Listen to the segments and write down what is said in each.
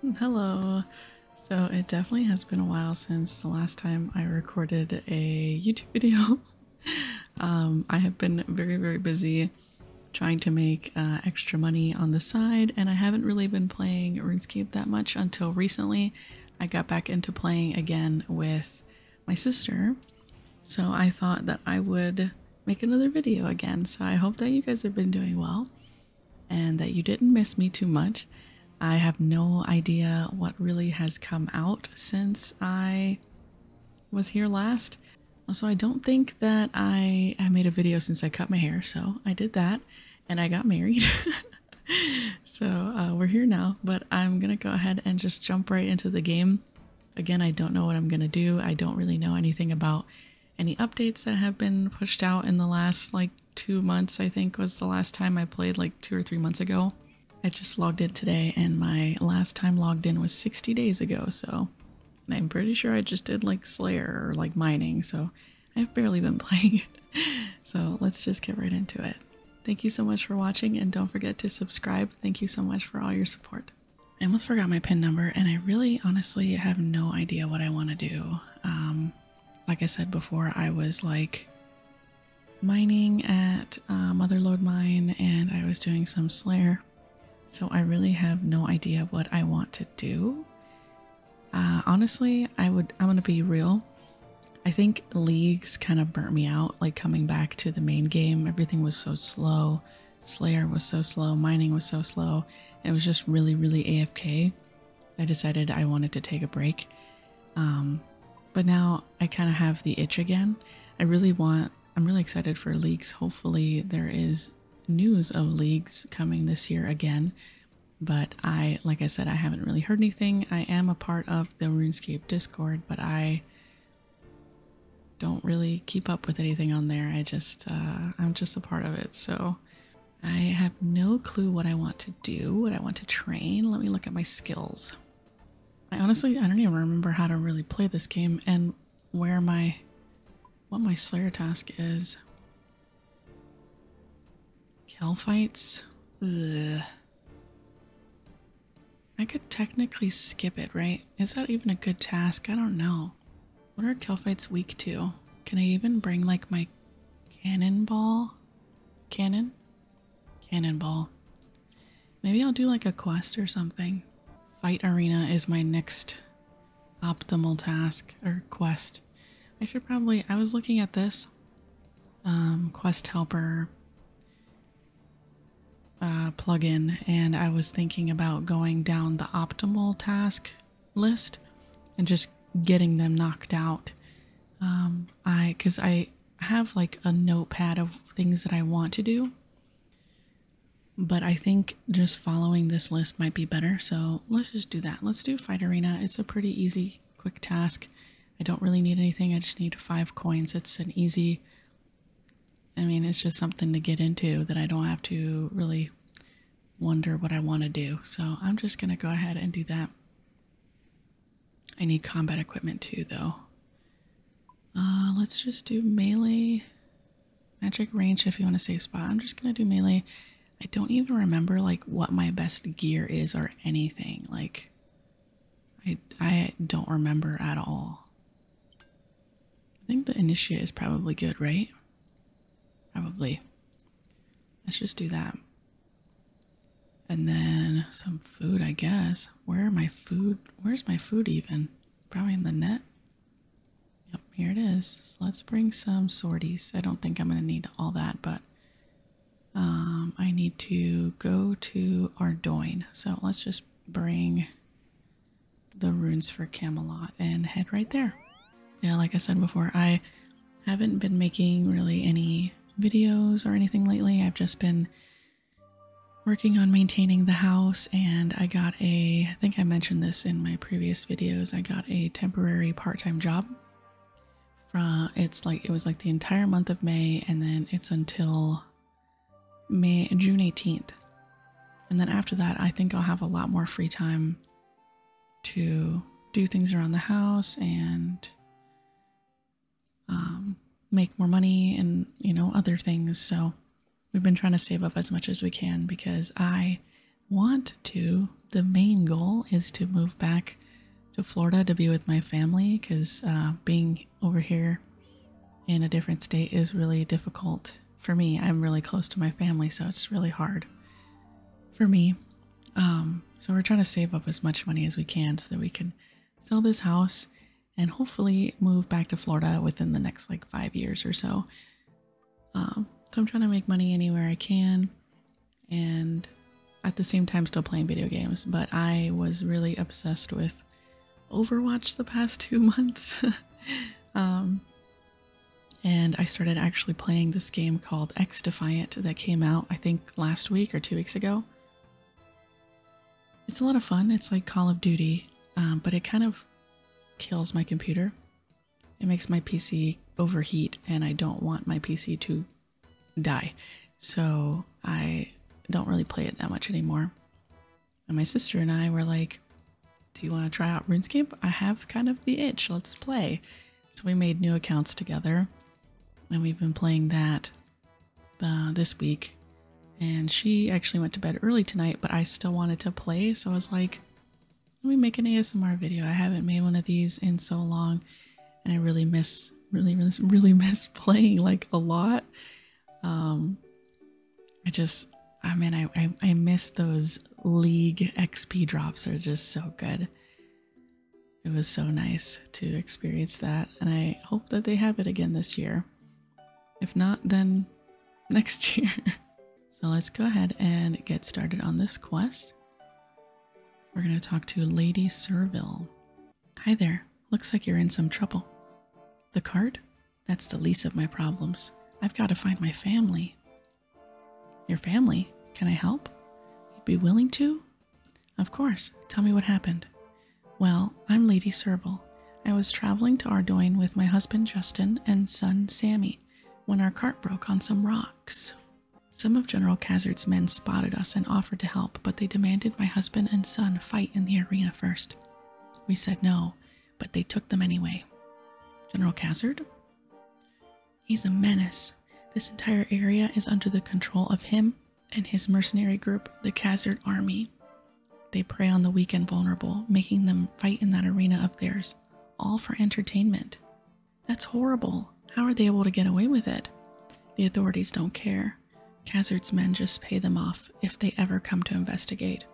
Hmm, hello. So it definitely has been a while since the last time I recorded a YouTube video. Um, I have been very, very busy trying to make uh, extra money on the side, and I haven't really been playing RuneScape that much until recently. I got back into playing again with my sister, so I thought that I would make another video again. So I hope that you guys have been doing well and that you didn't miss me too much. I have no idea what really has come out since I was here last. Also, I don't think that I, I made a video since I cut my hair, so I did that and I got married. so uh, we're here now, but I'm gonna go ahead and just jump right into the game. Again, I don't know what I'm gonna do. I don't really know anything about any updates that have been pushed out in the last like two months, I think was the last time I played, like two or three months ago. I just logged in today, and my last time logged in was 60 days ago, so. I'm pretty sure I just did like Slayer or like mining, so I've barely been playing. so let's just get right into it. Thank you so much for watching, and don't forget to subscribe. Thank you so much for all your support. I almost forgot my PIN number, and I really honestly have no idea what I want to do. Um, like I said before, I was like mining at uh, Motherlode Mine and I was doing some Slayer. So I really have no idea what I want to do. Uh, honestly, I would, I'm gonna be real. I think leagues kind of burnt me out, like coming back to the main game. Everything was so slow. Slayer was so slow. Mining was so slow. It was just really, really AFK. I decided I wanted to take a break. Um, but now I kind of have the itch again. I really want, I'm really excited for leagues. Hopefully, there is news of leagues coming this year again. But I, like I said, I haven't really heard anything. I am a part of the RuneScape Discord, but I don't really keep up with anything on there. I just, uh, I'm just a part of it. So I have no clue what I want to do, what I want to train. Let me look at my skills. I honestly, I don't even remember how to really play this game and where my, what my Slayer task is. Kill fights? I could technically skip it, right? Is that even a good task? I don't know. What are Telfites weak to? Can I even bring like my cannonball? Cannon? Cannonball. Maybe I'll do like a quest or something. Fight arena is my next optimal task or quest. I should probably I was looking at this. Um, quest helper uh, plugin and I was thinking about going down the optimal task list and just getting them knocked out. Um, I because I have like a notepad of things that I want to do, but I think just following this list might be better. So let's just do that. Let's do Fight Arena. It's a pretty easy, quick task. I don't really need anything. I just need five coins. It's an easy. I mean, it's just something to get into that I don't have to really wonder what I want to do. So I'm just going to go ahead and do that. I need combat equipment too, though. Uh, let's just do melee. Magic range if you want to save spot. I'm just going to do melee. I don't even remember, like, what my best gear is or anything. Like, I, I don't remember at all. I think the initiate is probably good, right? Probably. Let's just do that. And then some food, I guess. Where are my food? Where's my food even? Probably in the net. Yep, here it is. let's bring some sorties. I don't think I'm going to need all that, but um, I need to go to Ardoin. So let's just bring the runes for Camelot and head right there. Yeah, like I said before, I haven't been making really any videos or anything lately. I've just been working on maintaining the house and I got a, I think I mentioned this in my previous videos, I got a temporary part-time job. From, it's like, it was like the entire month of May and then it's until May, June 18th. And then after that, I think I'll have a lot more free time to do things around the house and um, make more money and, you know, other things. So we've been trying to save up as much as we can because I want to. The main goal is to move back to Florida to be with my family because uh, being over here in a different state is really difficult for me, I'm really close to my family, so it's really hard for me. Um, so we're trying to save up as much money as we can so that we can sell this house and hopefully move back to Florida within the next like five years or so. Um, so I'm trying to make money anywhere I can and at the same time still playing video games. But I was really obsessed with Overwatch the past two months. Um, and I started actually playing this game called X Defiant that came out, I think, last week or two weeks ago. It's a lot of fun. It's like Call of Duty, um, but it kind of kills my computer. It makes my PC overheat, and I don't want my PC to die. So I don't really play it that much anymore. And my sister and I were like, Do you want to try out RuneScape? I have kind of the itch. Let's play. So we made new accounts together and we've been playing that this week. And she actually went to bed early tonight, but I still wanted to play. So I was like, Let me make an ASMR video. I haven't made one of these in so long. And I really miss, really, really, really miss playing like a lot. Um, I just, I mean, I, I, I miss those league XP drops, are just so good. It was so nice to experience that, and I hope that they have it again this year. If not, then next year. so let's go ahead and get started on this quest. We're going to talk to Lady Serville. Hi there. Looks like you're in some trouble. The cart? That's the least of my problems. I've got to find my family. Your family? Can I help? You'd be willing to? Of course. Tell me what happened. Well, I'm Lady Servil. I was traveling to Ardoin with my husband Justin and son Sammy when our cart broke on some rocks. Some of General Cazard's men spotted us and offered to help, but they demanded my husband and son fight in the arena first. We said no but they took them anyway. General Cassard? He's a menace. This entire area is under the control of him and his mercenary group, the Khazard Army. They prey on the weak and vulnerable, making them fight in that arena of theirs, all for entertainment. That's horrible. How are they able to get away with it? The authorities don't care. Khazard's men just pay them off if they ever come to investigate.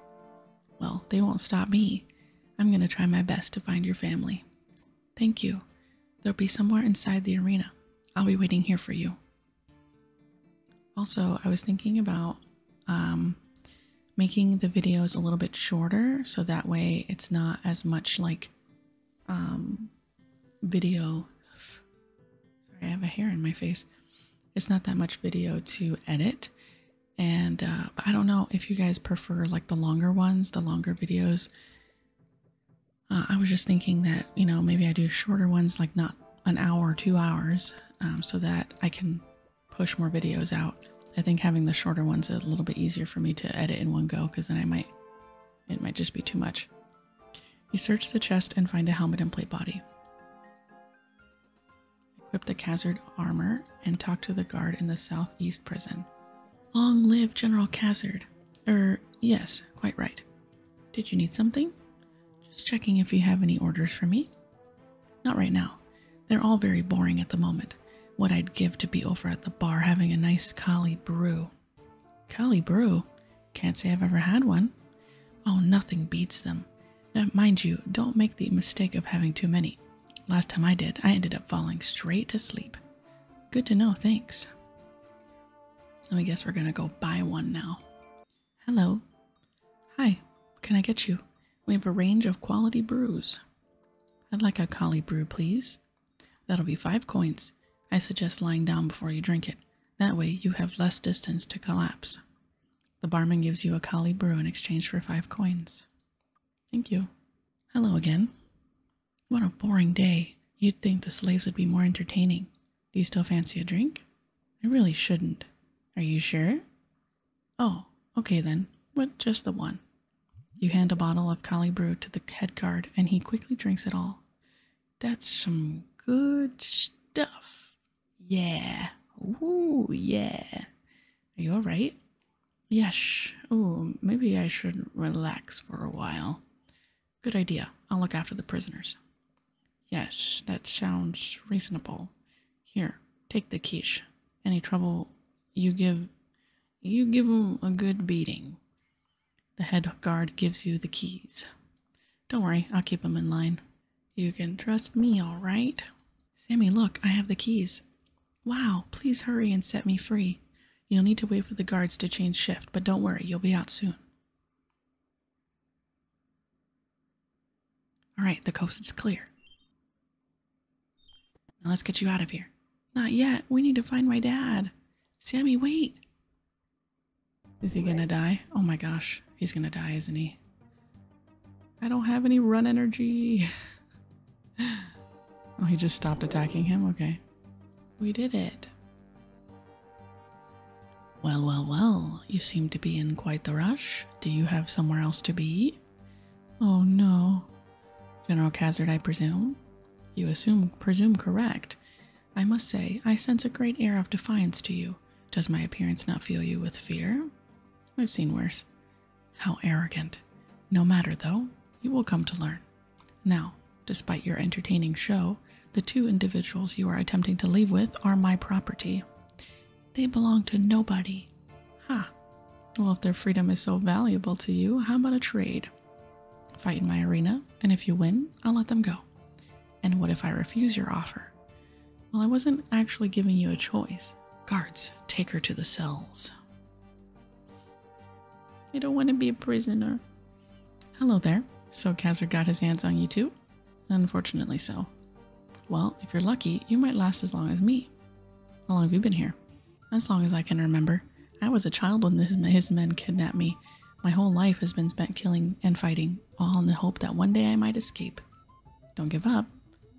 Well, they won't stop me. I'm going to try my best to find your family. Thank you. They'll be somewhere inside the arena. I'll be waiting here for you. Also, I was thinking about um, making the videos a little bit shorter so that way it's not as much like um, video. I have a hair in my face. It's not that much video to edit and uh, I don't know if you guys prefer like the longer ones, the longer videos. Uh, I was just thinking that you know maybe I do shorter ones, like not an hour, or two hours, um, so that I can push more videos out. I think having the shorter ones is a little bit easier for me to edit in one go because then I might it might just be too much. You search the chest and find a helmet and plate body. Equip the Khazard armor and talk to the guard in the southeast prison. Long live General Khazard. Er, yes, quite right. Did you need something? Just checking if you have any orders for me. Not right now. They're all very boring at the moment. What I'd give to be over at the bar having a nice collie brew. Collie brew? Can't say I've ever had one. Oh, nothing beats them mind you, don't make the mistake of having too many. Last time I did, I ended up falling straight to sleep. Good to know, thanks. Let me guess we're gonna go buy one now. Hello. Hi, what can I get you? We have a range of quality brews. I'd like a collie brew, please. That'll be five coins. I suggest lying down before you drink it. That way you have less distance to collapse. The barman gives you a Kali brew in exchange for five coins. Thank you. Hello again. What a boring day. You'd think the slaves would be more entertaining. Do you still fancy a drink? I really shouldn't. Are you sure? Oh, okay then, but just the one. You hand a bottle of Kali brew to the head guard, and he quickly drinks it all. That's some good stuff, yeah. Ooh, yeah. Are you alright? Yes. Oh, maybe I should relax for a while. Good idea. I'll look after the prisoners. Yes, that sounds reasonable. Here, take the quiche. Any trouble, you give, you give 'em a good beating. The head guard gives you the keys. Don't worry, I'll keep 'em in line. You can trust me, all right? Sammy, look, I have the keys. Wow, please hurry and set me free. You'll need to wait for the guards to change shift, but don't worry, you'll be out soon. Alright, the coast is clear. Now let's get you out of here. Not yet. We need to find my dad. Sammy, wait. Is he gonna die? Oh my gosh. He's gonna die, isn't he? I don't have any run energy. Oh, he just stopped attacking him? Okay. We did it. Well, well, well, you seem to be in quite the rush. Do you have somewhere else to be? Oh no. General Kazard, I presume? You assume presume correct. I must say, I sense a great air of defiance to you. Does my appearance not fill you with fear? I've seen worse. How arrogant. No matter though, you will come to learn. Now, despite your entertaining show, the two individuals you are attempting to leave with are my property. They belong to nobody. Ha! Well, if their freedom is so valuable to you, how about a trade? Fight in my arena, and if you win, I'll let them go. And what if I refuse your offer? Well, I wasn't actually giving you a choice. Guards, take her to the cells. I don't want to be a prisoner. Hello there. So Kazar got his hands on you too? Unfortunately so. Well, if you're lucky, you might last as long as me. How long have you been here? As long as I can remember. I was a child when his men kidnapped me. My whole life has been spent killing and fighting all in the hope that one day I might escape. Don't give up.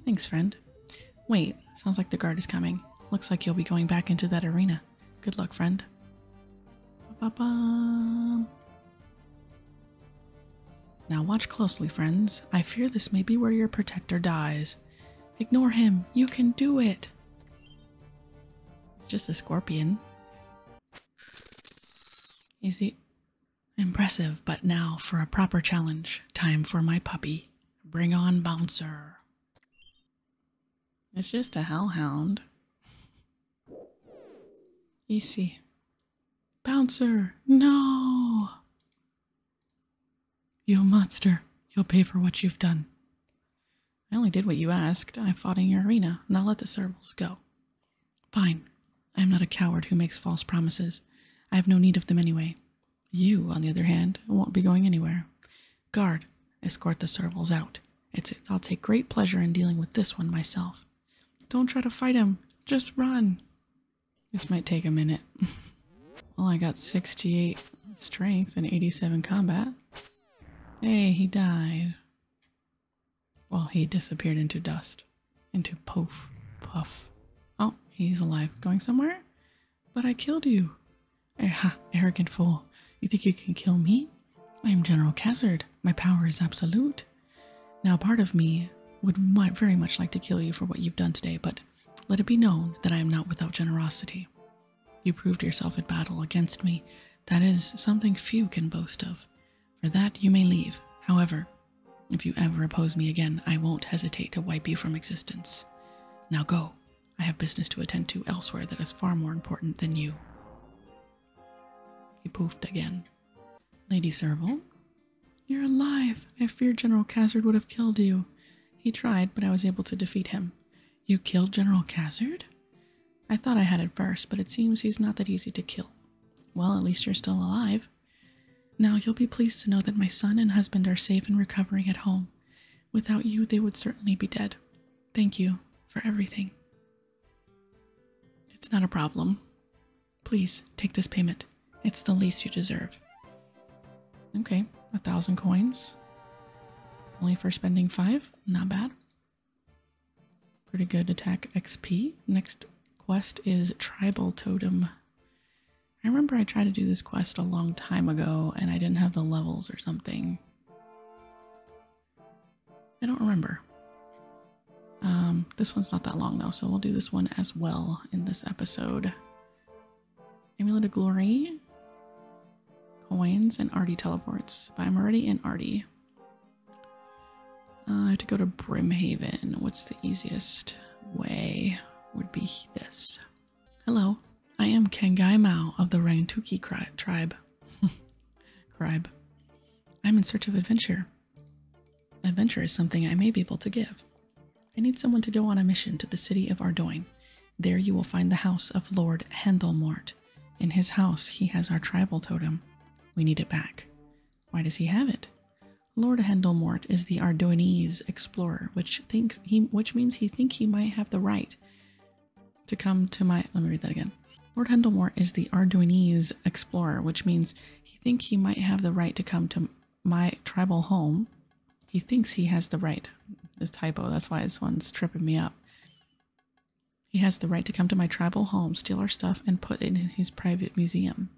Thanks, friend. Wait, sounds like the guard is coming. Looks like you'll be going back into that arena. Good luck, friend. Now watch closely, friends. I fear this may be where your protector dies. Ignore him. You can do it. It's just a scorpion. Is he Impressive, but now for a proper challenge. Time for my puppy. Bring on Bouncer. It's just a hellhound. Easy. Bouncer, no! You monster, you'll pay for what you've done. I only did what you asked. I fought in your arena. Now let the servals go. Fine. I am not a coward who makes false promises. I have no need of them anyway. You, on the other hand, won't be going anywhere. Guard, escort the servals out. I'll take great pleasure in dealing with this one myself. Don't try to fight him. Just run. This might take a minute. well, I got 68 strength and 87 combat. Hey, he died. Well, he disappeared into dust, into poof, puff. Oh, he's alive. Going somewhere? But I killed you. Eh, ha, arrogant fool. You think you can kill me? I am General Cassard. My power is absolute. Now, part of me would very much like to kill you for what you've done today, but let it be known that I am not without generosity. You proved yourself at battle against me. That is something few can boast of. For that you may leave. However, if you ever oppose me again, I won't hesitate to wipe you from existence. Now go. I have business to attend to elsewhere that is far more important than you. He poofed again. Lady Serval, you're alive. I feared General Cassard would have killed you. He tried, but I was able to defeat him. You killed General Cassard? I thought I had at first, but it seems he's not that easy to kill. Well, at least you're still alive. Now you'll be pleased to know that my son and husband are safe and recovering at home. Without you, they would certainly be dead. Thank you for everything. It's not a problem. Please take this payment. It's the least you deserve. Okay, a thousand coins. Only for spending five, not bad. Pretty good attack XP. Next quest is Tribal Totem. I remember I tried to do this quest a long time ago and I didn't have the levels or something. I don't remember. Um, this one's not that long though, so we'll do this one as well in this episode. Amulet of Glory, coins, and Artie teleports. By Marty and Artie. Uh, I have to go to Brimhaven. What's the easiest way? Would be this. Hello, I am Kengai Mao of the Rangtuki tribe. tribe. I'm in search of adventure. Adventure is something I may be able to give. I need someone to go on a mission to the city of Ardoin. There you will find the house of Lord Hendelmort. In his house, he has our tribal totem. We need it back. Why does he have it? Lord Hendelmort is the Ardoinese explorer, which thinks he which means he think he might have the right to come to my let me read that again. Lord Hendelmort is the Ardoinese explorer, which means he think he might have the right to come to my tribal home. He thinks he has the right. This typo, that's why this one's tripping me up. He has the right to come to my tribal home, steal our stuff, and put it in his private museum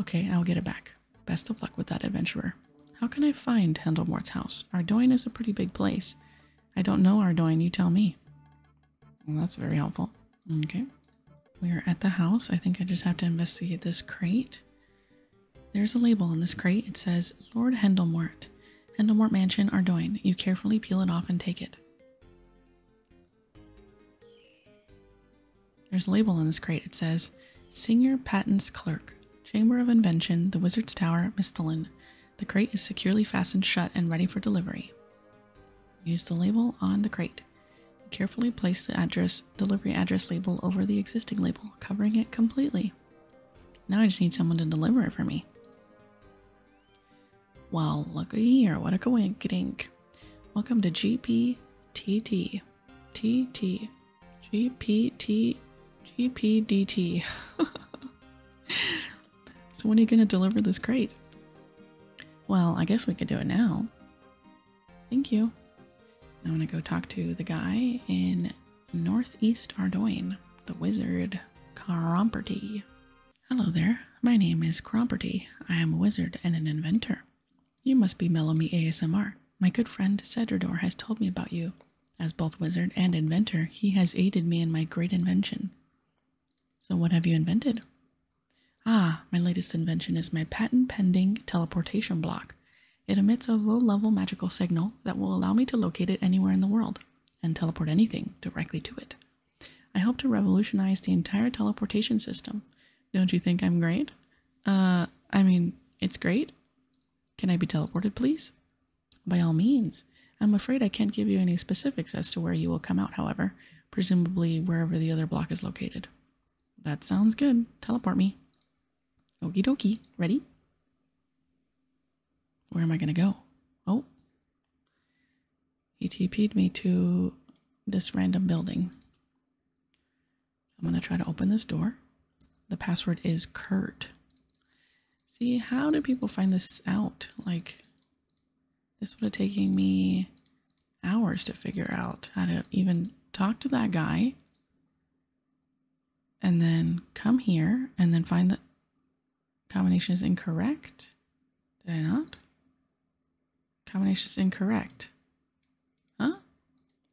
okay, I'll get it back. Best of luck with that adventurer. How can I find Hendelmore's house? Ardoin is a pretty big place. I don't know Ardoin, you tell me. that's very helpful. Okay. We are at the house. I think I just have to investigate this crate. There's a label on this crate. It says Lord Hendelmort. Hendelmort Mansion, Ardoin. You carefully peel it off and take it. There's a label on this crate. It says Senior Patents Clerk, Chamber of Invention, The Wizard's Tower, Mistelin. The crate is securely fastened shut and ready for delivery. Use the label on the crate. Carefully place the address delivery address label over the existing label, covering it completely. Now I just need someone to deliver it for me. Well, look here, what a coinkydink. Welcome to GPTT. TT. GPT. GPDT. so when are you going to deliver this crate? Well, I guess we could do it now. Thank you. i want to go talk to the guy in Northeast Ardoin, the wizard Caromperty. Hello there, my name is Cromperty. I am a wizard and an inventor. You must be Mellomy ASMR. My good friend Cedrador has told me about you. As both wizard and inventor, he has aided me in my great invention. So, what have you invented? Ah, my latest invention is my patent pending teleportation block. It emits a low level magical signal that will allow me to locate it anywhere in the world and teleport anything directly to it. I hope to revolutionize the entire teleportation system. Don't you think I'm great? Uh, I mean, it's great. Can I be teleported, please? By all means. I'm afraid I can't give you any specifics as to where you will come out, however, presumably wherever the other block is located. That sounds good. Teleport me. Okey dokey. Ready? Where am I gonna go? Oh. He TP'd me to this random building. I'm going to try to open this door. The password is Kurt. See, how do people find this out? Like, this would have taken me hours to figure out how to even talk to that guy and then come here and then find the Combination is incorrect. Did I not? Combination is incorrect. Huh?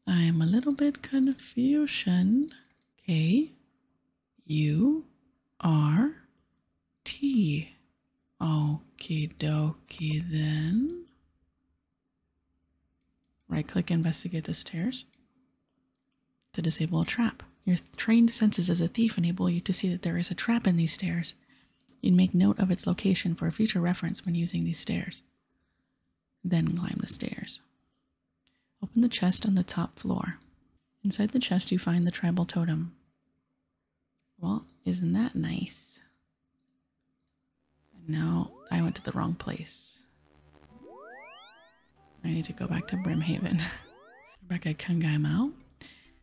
I am a little bit confusion. K U R T. Okie dokie then. Right click investigate the stairs to disable a trap. Your trained senses as a thief enable you to see that there is a trap in these stairs. You'd make note of its location for future reference when using these stairs. Then climb the stairs. Open the chest on the top floor. Inside the chest, you find the tribal totem. Well, isn't that nice? No, I went to the wrong place. I need to go back to Brimhaven. Rebecca Kungaimal.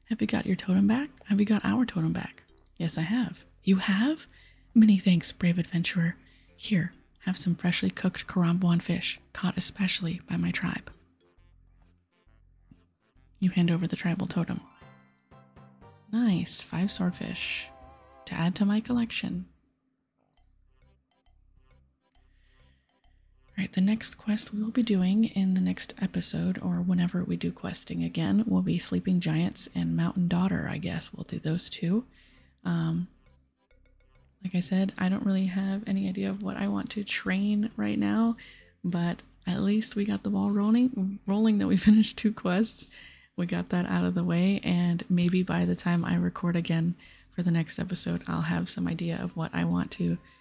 Have you got your totem back? Have you got our totem back? Yes, I have. You have? Many thanks, brave adventurer. Here, have some freshly cooked Karambuan fish, caught especially by my tribe. You hand over the tribal totem. Nice, five swordfish to add to my collection. Alright, the next quest we will be doing in the next episode, or whenever we do questing again, will be Sleeping Giants and Mountain Daughter, I guess. We'll do those two. Um, like I said, I don't really have any idea of what I want to train right now, but at least we got the ball rolling, rolling that we finished two quests. We got that out of the way, and maybe by the time I record again for the next episode, I'll have some idea of what I want to